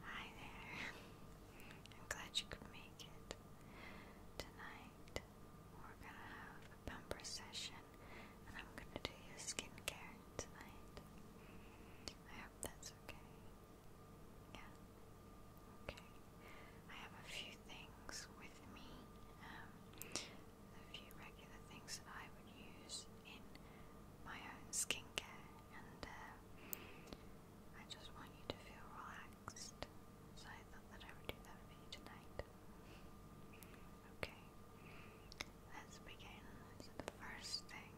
Hi there. I'm glad you could make it. Tonight we're gonna have a bumper session and I'm gonna do your skincare tonight. I hope that's okay. Yeah. Okay. I have a few things with me. Um, a few regular things that I would use in my own skincare and uh, I just want you to feel relaxed. So I thought that I would do that for you tonight. Okay, let's begin. the first thing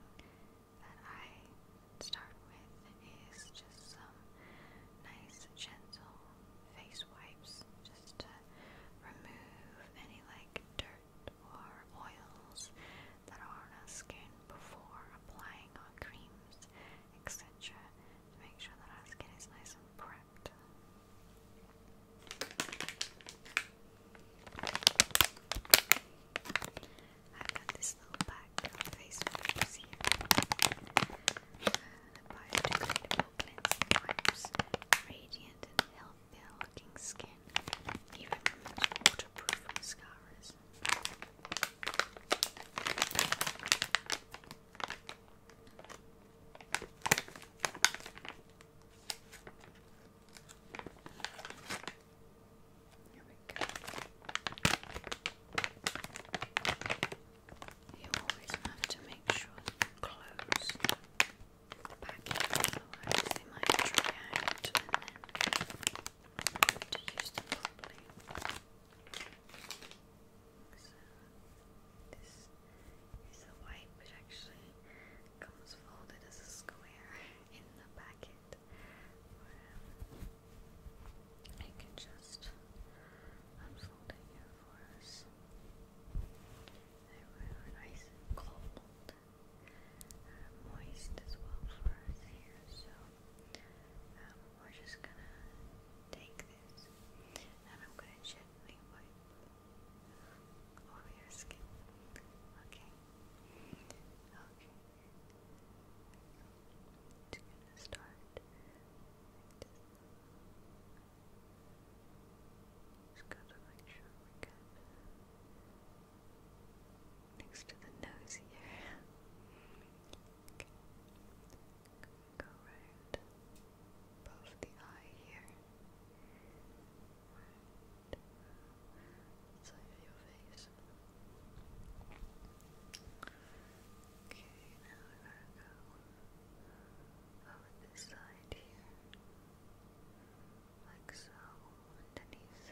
that I start with is just some nice, gentle face wipes, just to remove any like dirt or oils that are on our skin before applying our creams, etc., to make sure that our skin is nice and prepped. I've got this little bag of face wipes here. Uh, the biodegradable cleansing wipes, radiant and healthy their looking skin, even waterproof mascaras. Here we go. You always have to make sure that you close the package, so I they might try to use them properly. So, this is a white, which actually comes folded as a square in the packet. I can just unfold it for us. They were nice and cold uh, moist as well for us here, so um, we're just gonna take this and I'm gonna gently wipe over your skin. Okay. Okay. to start like this. Just gotta make sure we get next to the nose here. Okay. Go right above the eye here. side of your face. Okay, now we're gonna go over this side here like so, underneath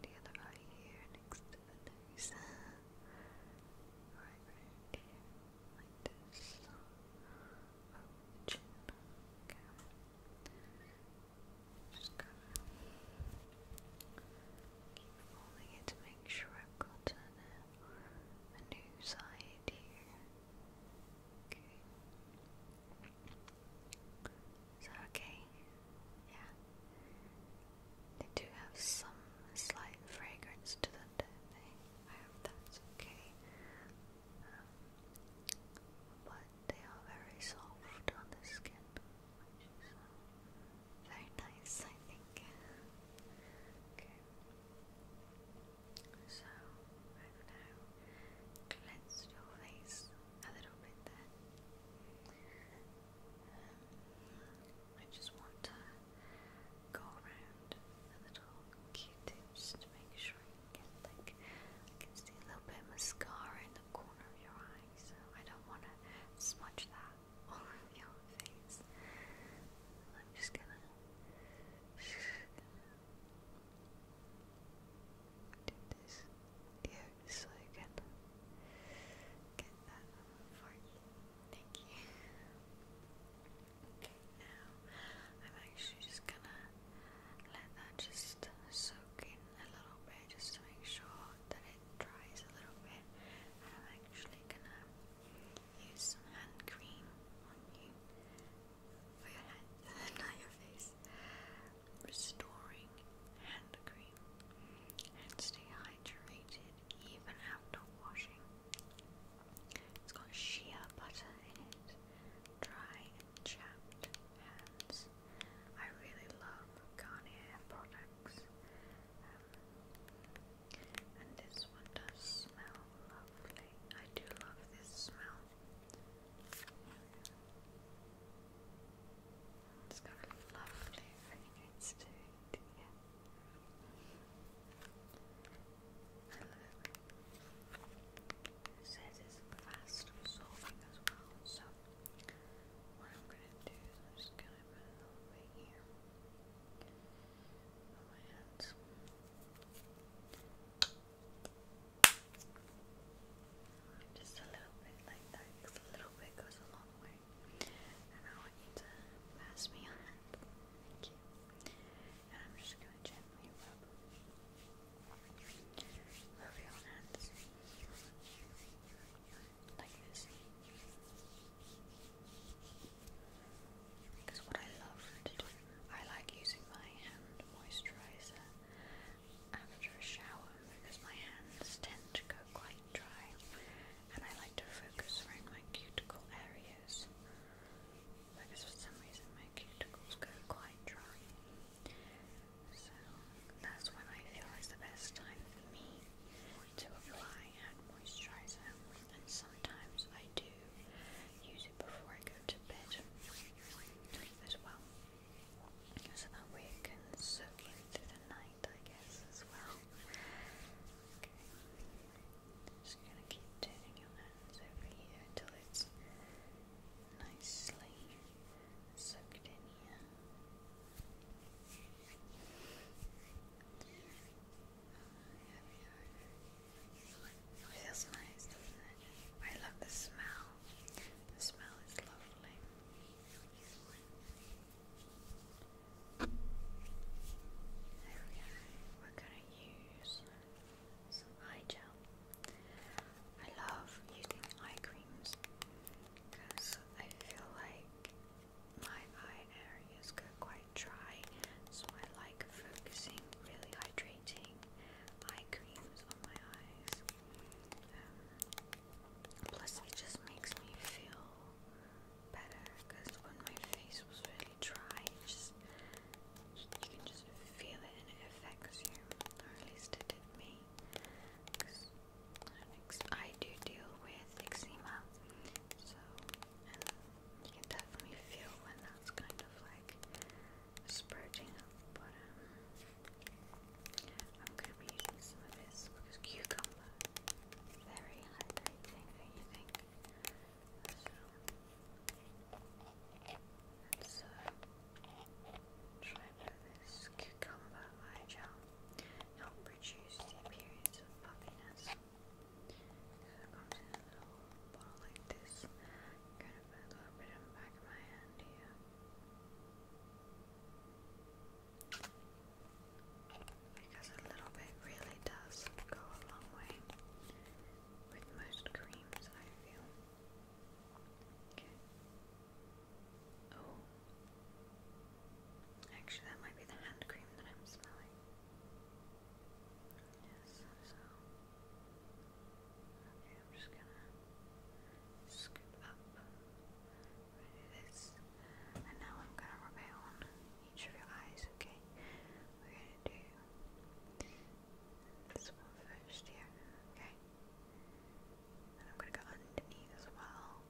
the other eye here, next to the nose, right, right like this, over the chin, just keep folding it to make sure I've got a new side here. Okay. So okay, yeah. They do have some slight fragrance to them, don't they? I hope that's okay. Um, but they are very soft on the skin, which is uh, very nice, I think. Okay. So i now cleansed your face a little bit there. Um, I just want to go around the little Q-tips to make sure you get like I can see a little bit of mascara in the corner of your eye, so I don't want to smudge that all over your face. I'm just gonna do this here so I get that for you. Thank you. Okay, now I'm actually just gonna let that just soak in a little bit just to make sure that it dries a little bit. I'm actually gonna use some hand cream on you for your head, not your face. Restoring hand cream and stay hydrated even after washing. It's got shea butter in it. Dry and chapped hands. I really love Garnier products. Um, and this one does smell lovely. I do love this smell. It's got lovely fragrance to Yeah. it. says it's fast absorbing as well, so what I'm going to do is I'm just going to put a little bit here. Just a little bit like that, a little bit goes a long way. And I want to pass me hand. Thank you. And I'm just going to gently rub, rub your hands like this. Because what I love to do, I like using my hand moisturizer after a shower because my hands tend to go quite dry and I like to focus around my cuticle areas because for some reason my cuticles go quite dry. So that's when I feel is the best time for me to apply hand moisturizer and sometimes I do use it before I go to bed as well. So that way can soak in through the night, I guess, as well. Okay. Just gonna keep turning your hands over here until it's nicely soaked in here feels nice, doesn't it? I love the smell. The smell is lovely. There we go. We're gonna use some eye gel. I love using eye creams because I feel like my eye areas go quite dry, so I like focusing, really hydrating eye creams on my eyes. Um, plus, it just makes me feel better because when my face was really dry, you can just feel it and it affects you, at least it did me. I do deal with eczema, so you can definitely feel when that's kind of like spurting up, but um, I'm gonna be using some of this because cucumber very hydrating, don't you think? So, let's uh, this cucumber eye gel. Help reduce the appearance of puffiness. And it comes in a little bottle like this. Kind of a little bit on the back of my hand here. Because a little bit really does go a long way with most creams, I feel. Okay. Oh. Actually, that might be the hand cream that I'm smelling. Yes, so. I'm just gonna scoop up. I'm gonna do this. And now I'm gonna rub it on each of your eyes, okay? We're gonna do this one first here, okay? And I'm gonna go underneath as well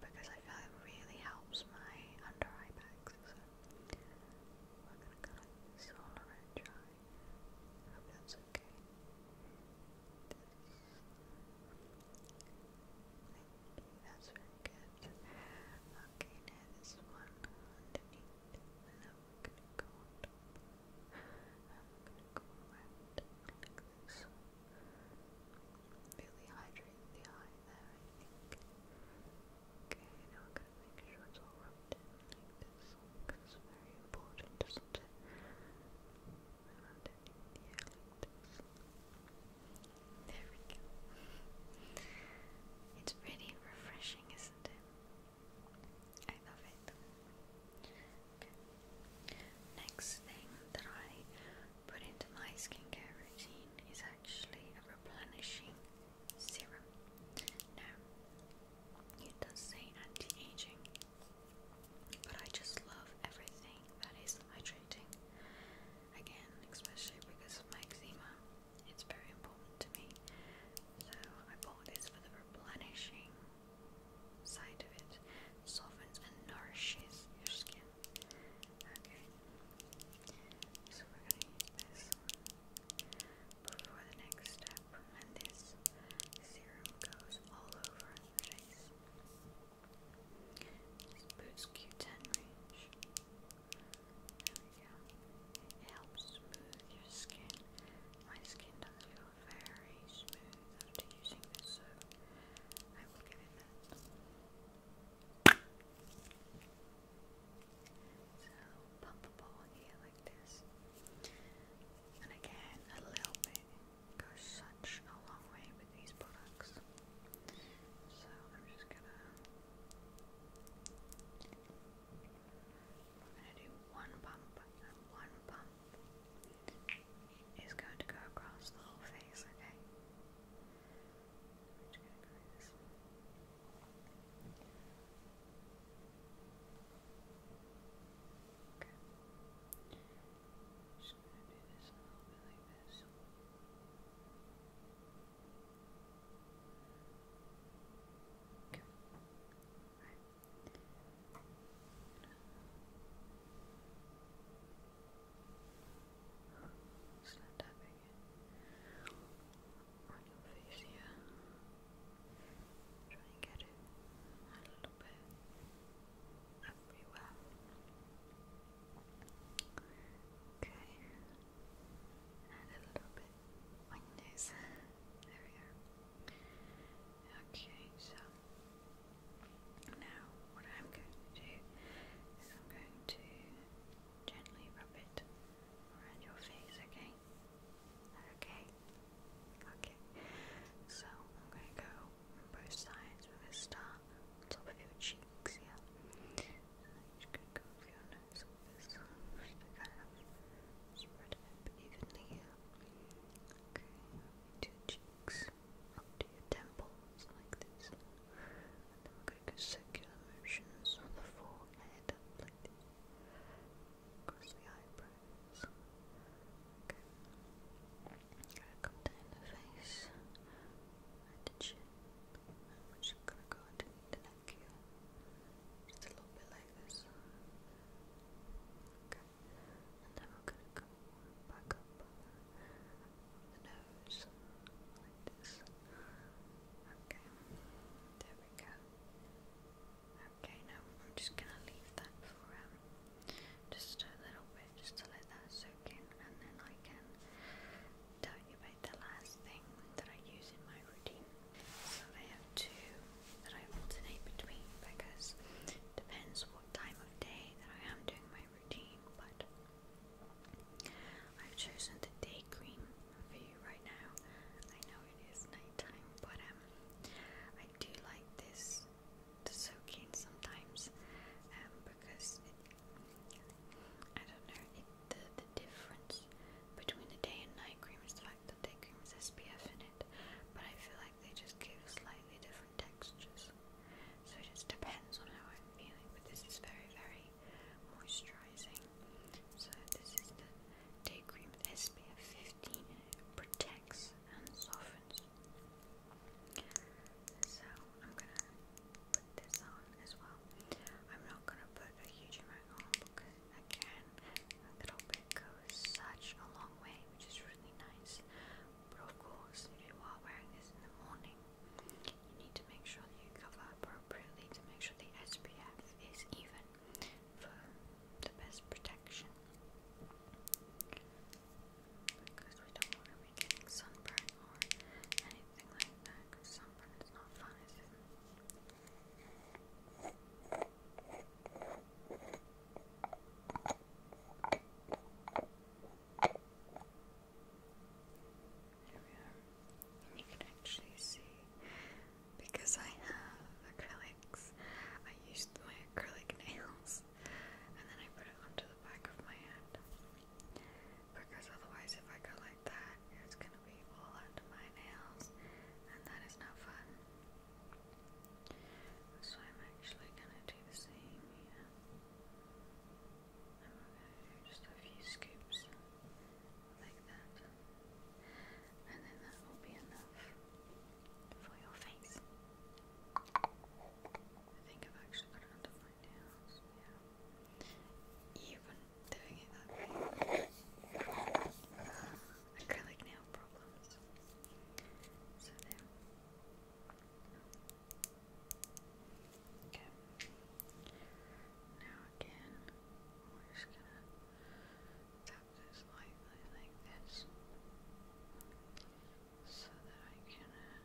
because I feel it really helps my under eye bags. So we're gonna kind of swallow and try. hope that's okay. that's really good. Okay, now this one underneath. And now we gonna go on And we're gonna go around like this really hydrating the eye there, I think. Okay, now I'm gonna make sure it's all rubbed in like this, because it's very important, isn't it? Around it There we go. It's really refreshing, isn't it? I love it. Next thing that I put into my skincare routine is actually a replenishing serum. Now, it does say anti-aging, but I just love everything that is hydrating. Again, especially because of my eczema, it's very important to me. So I bought this for the replenishing side of it. Softens and nourishes your skin. Okay. So we're gonna use this before the next step, and this serum goes all over the face. This Boots range. There we It helps smooth your skin. My skin does feel very smooth after using this, I will give it that. So pump a ball here like this. And again, a little bit goes such a long way with these products. So I'm just gonna I'm gonna do one pump and one pump is going to go across the whole face, okay? I'm Okay. just gonna do this Okay. Alright. Start tapping it on your face here. Try and get it a little bit everywhere. Okay, and a little bit on your there we go. Okay, so. Now, what I'm going to do is I'm going to gently rub it around your face, okay? Okay? Okay. So, I'm going to go both sides. We're going to start on top of your cheeks, yeah? So, i going to go over your nose like this. kind of spread it evenly, Okay, two cheeks up to your temples like this. And then we going to go circular motions on the forehead like this. Across the eyebrows. Okay. I'm gonna come down the face and the chin. And we're just gonna go underneath the neck here. Just a little bit like this. Okay. And then we're gonna go back up nose like Okay, there we go. Okay, now I'm just gonna leave that for um, just a little bit, just to let that soak in, and then I can tell you about the last thing that I use in my routine. So I have two that I alternate between because depends what time of day that I am doing my routine, but I've chosen the day cream for you right now. I know it is nighttime, but um, I do like this to soak in sometimes, um, because it, I don't know it, the the difference between the day and night cream is the fact that day cream has SPF in it, but I feel like they just give slightly different different textures. So it just depends on how i feeling, but this is very, very moisturizing. So this is the day cream with SPF 15 protects and softens. So I'm gonna put this on as well. I'm not gonna put a huge amount on because again, a little bit goes such a long way, which is really nice. But of course, if you are wearing this in the morning, you need to make sure that you cover appropriately to make sure the SPF is even for the best protection. Because we don't want to be getting sunburn or anything like that, sunburn is not fun, you can actually see because I have acrylics, I used my acrylic nails and then I put it onto the back of my hand. Because otherwise, if I go like that, it's gonna be all under my nails, and that is not fun. So I'm actually going to do the same here. And we going to do just a few scoops like that. And then that will be enough for your face. I think I've actually got it under my nails. Yeah. Even doing it that way. Acrylic nail problems. So there. Okay. Now again, we're just gonna tap this lightly like this so that I can uh,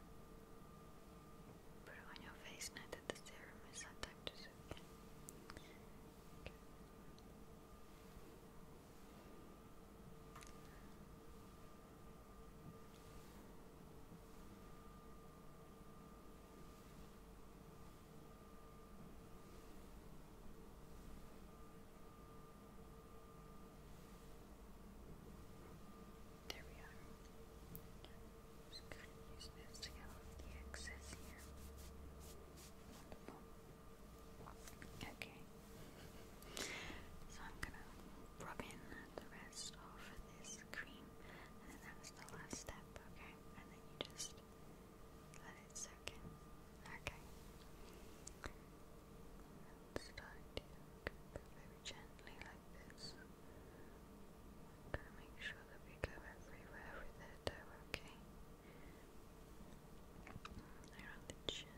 put it on your face now that the serum is attached to it. Okay. There we are. just going to use this to get the excess here. Wonderful. Okay. So I'm gonna rub in the rest of this cream, and that's the last step, okay? And then you just let it soak in. Okay. And start very gently like this. gonna make sure that we go everywhere with it, okay? Around the chin.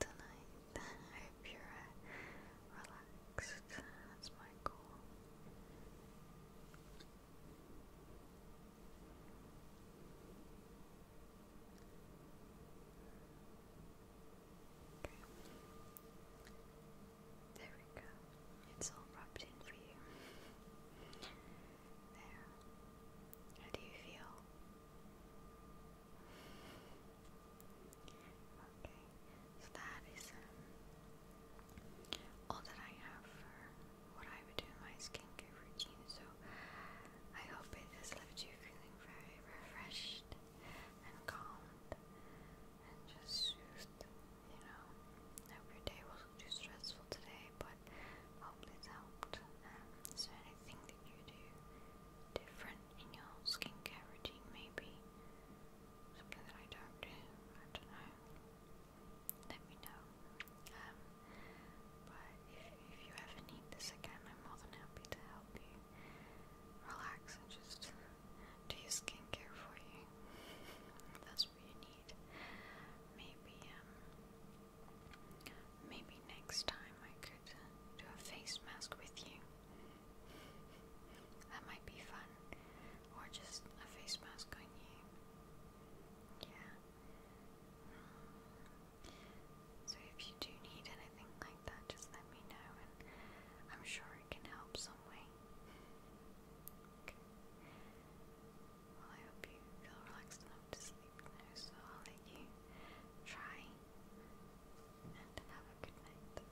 tonight. I hope you're uh, relaxed. That's my goal. There we go. It's all wrapped in for you. There. How do you feel? Okay, so that is um, all that I have for what I would do in my skincare routine. So I hope it has left you feeling very refreshed and calmed and just soothed. You know, I hope your day wasn't too stressful today, but hopefully it's helped. Um, is there you do different in your skincare routine, maybe something that I don't do. I don't know. Let me know. Um, but if, if you ever need this again, I'm more than happy to help you relax and just do your skincare for you. That's what you need. Maybe um, Maybe next time I could do a face mask with you. that might be fun. Or just a face mask on you. Yeah. So if you do need anything like that, just let me know and I'm sure it can help some way. Well, I hope you feel relaxed enough to sleep so I'll let you try and have a good night.